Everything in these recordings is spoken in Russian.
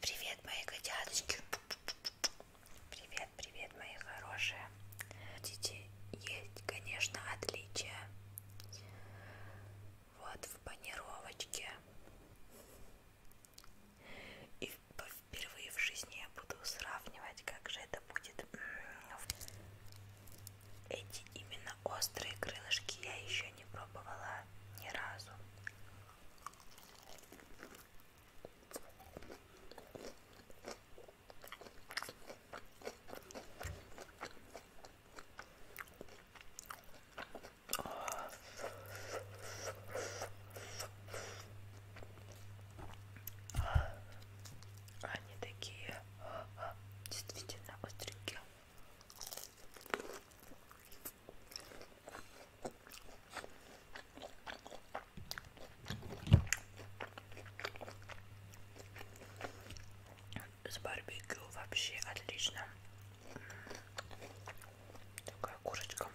Привет, мои котяточки. Привет, привет, мои хорошие. Хотите есть, конечно, отличия. Вот в панировочке. И впервые в жизни я буду сравнивать, как же это это будет эти именно острые крылышки я еще не пробовала ни разу они такие действительно остренькие. С барбекю вообще отлично. Такая курочка.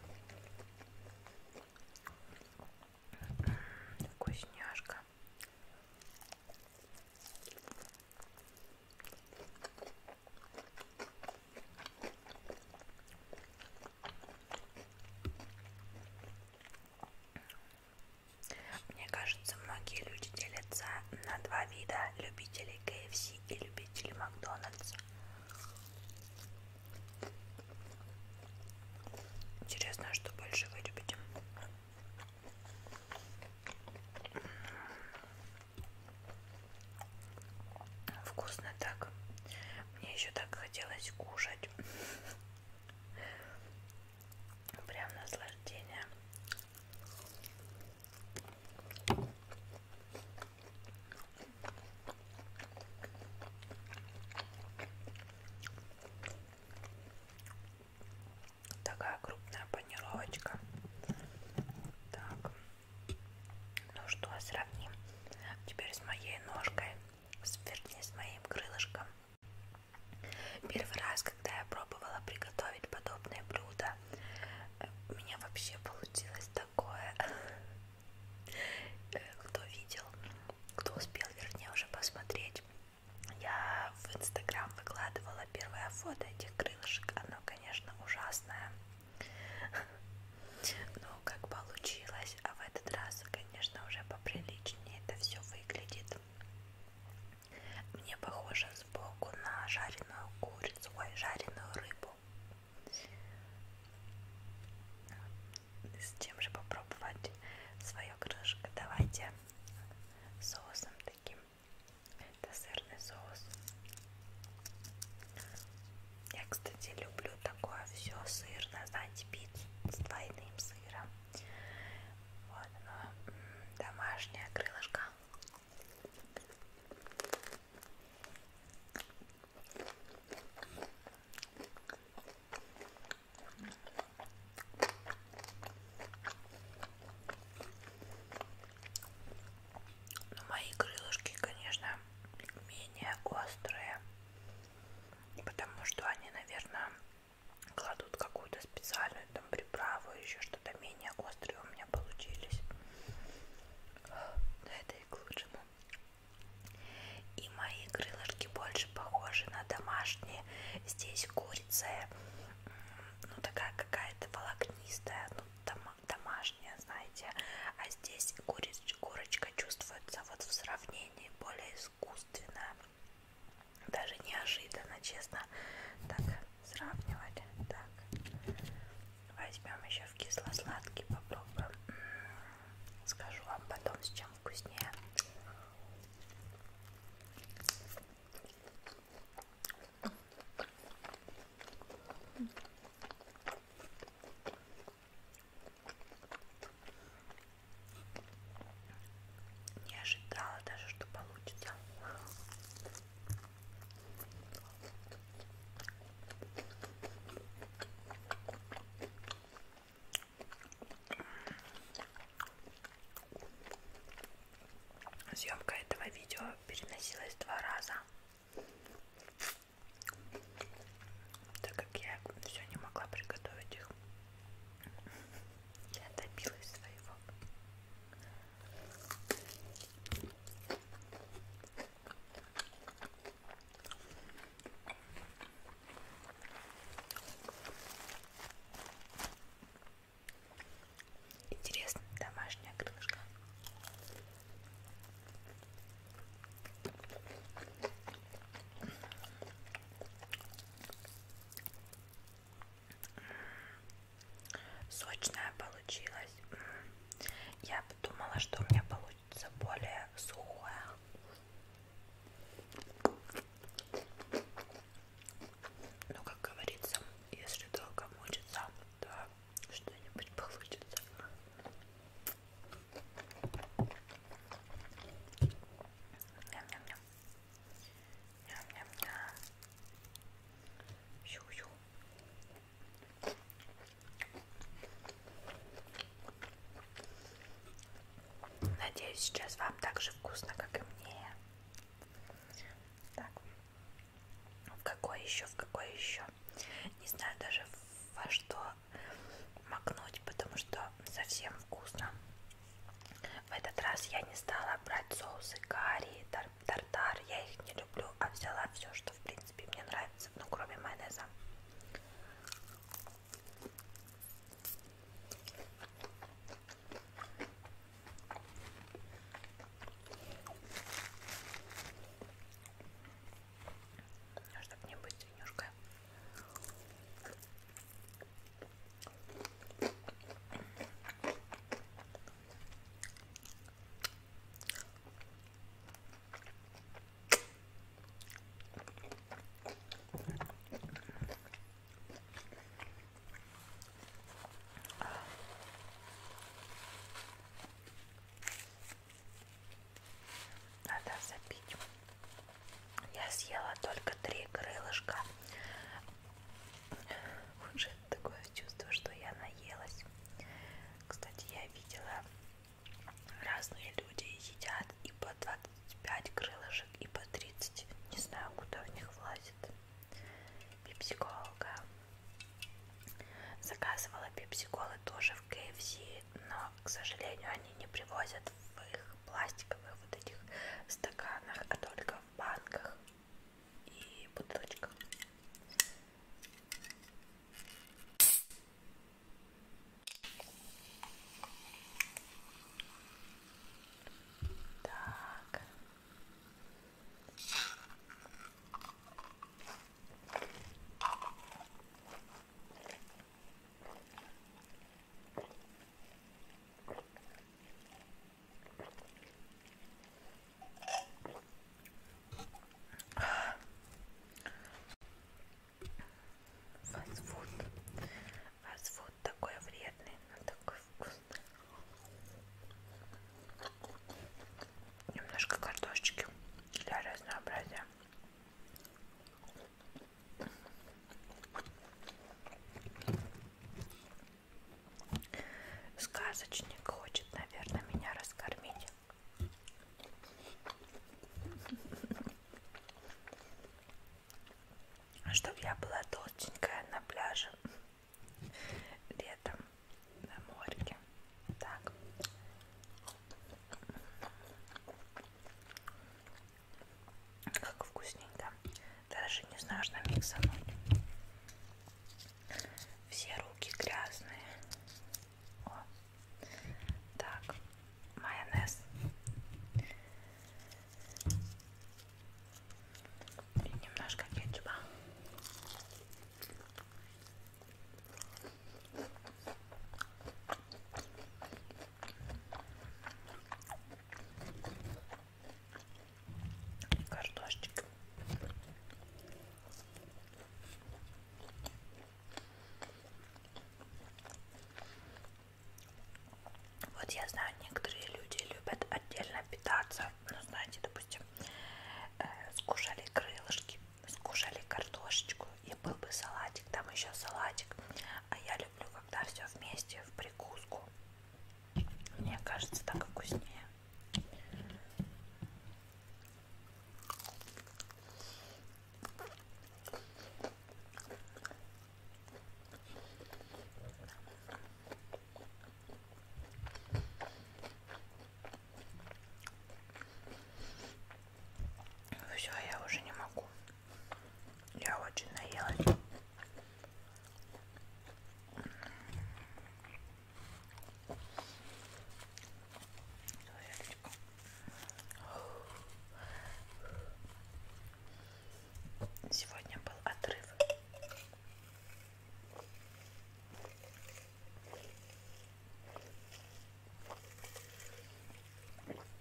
Вкусняшка. Мне кажется, многие люди делятся на два вида любителей KFC и любителей Макдональдс. Интересно, а что больше вы любите? Вкусно так. Мне еще так хотелось кушать. Прям наслаждение. Такая крупная панировочка. Так. Ну что, сравним. Теперь с моей ножкой. Вернее, с моим крылышком. Первый раз, когда я пробовала приготовить подобное блюдо, э, у меня вообще получилось такое. Э, кто видел, кто успел, вернее, уже посмотреть, я в Инстаграм выкладывала первое фото этих крылышек. Оно, конечно, ужасное. Но как получилось, а в этот раз, конечно, уже поприличнее это все выглядит. Мне похоже сбоку на жареную курицу, ой, жареную рыбу с чем же попробовать свое крылышко? Давайте соусом таким. Это сырный соус. Я, кстати, люблю такое все сырное, знаете, пиццу с двойным сыром. Вот оно, домашнее крылышко. Но мои крылышки, конечно, менее острые, потому что они, наверное, кладут какую-то специальную там приправу, еще что-то менее острые у меня получились. Но это и к лучшему. Ну. И мои крылышки больше похожи на домашние. Здесь курица, ну такая какая-то волокнистая, ну там домашняя, знаете. А здесь курица, курочка чувствуется вот в сравнении более искусственно. Даже неожиданно, честно. Так, сравнивали. Так. Возьмем еще в кисло-сладкий, попробуем. Скажу вам потом, с чем вкуснее. Не ожидала даже, что получится. Съемка этого видео переносилась два раза, так как я все не могла приготовить их. Я добилась своего. Интересно, домашняя крышка. Сочная получилась. Я думала, что у меня получится более сухое. Но, как говорится, если долго мучиться, то что-нибудь получится. Ням-ням-ням. Ням-ням-ням. Щу-щу. Надеюсь, сейчас вам так же вкусно, как и мне. Так. В какой еще, в какой еще? Не знаю даже во что макнуть, потому что совсем вкусно. В этот раз я не стала брать соусы карри, тар тартар. Я их не люблю, а взяла все, что в принципе мне нравится, ну кроме майонеза. Чтобы не быть свинюшкой. Надо запить. Я съела только три крылышка уже такое чувство, что я наелась. Кстати, я видела разные люди едят и по 25 крылышек, и по 30. Не знаю, куда в них влазит. Пепсиколка. Заказывала пепсиколы тоже в KFC, но, к сожалению, они не привозят в их пластиковых вот этих стаканах, а только в банках и бутылочка. Так. Фастфуд. Фастфуд такой вредный, но такой вкусный. Немножко картошечки для разнообразия. Сказочник хочет, наверное, меня раскормить. А чтоб я была толстенькая на пляже летом на морке. Так. Как вкусненько. Даже не знаю, что миксануть. Все руки грязные. О. Так, майонез. И немножко кетчупа картошечка вот я знаю некоторые люди любят отдельно питаться ну знаете допустим э, скушали крылышки скушали картошечку и был бы салатик там еще салатик а я люблю когда все вместе в прикуску мне кажется, так вкуснее. Все, я уже не могу. Я очень наелась. Сегодня был отрыв.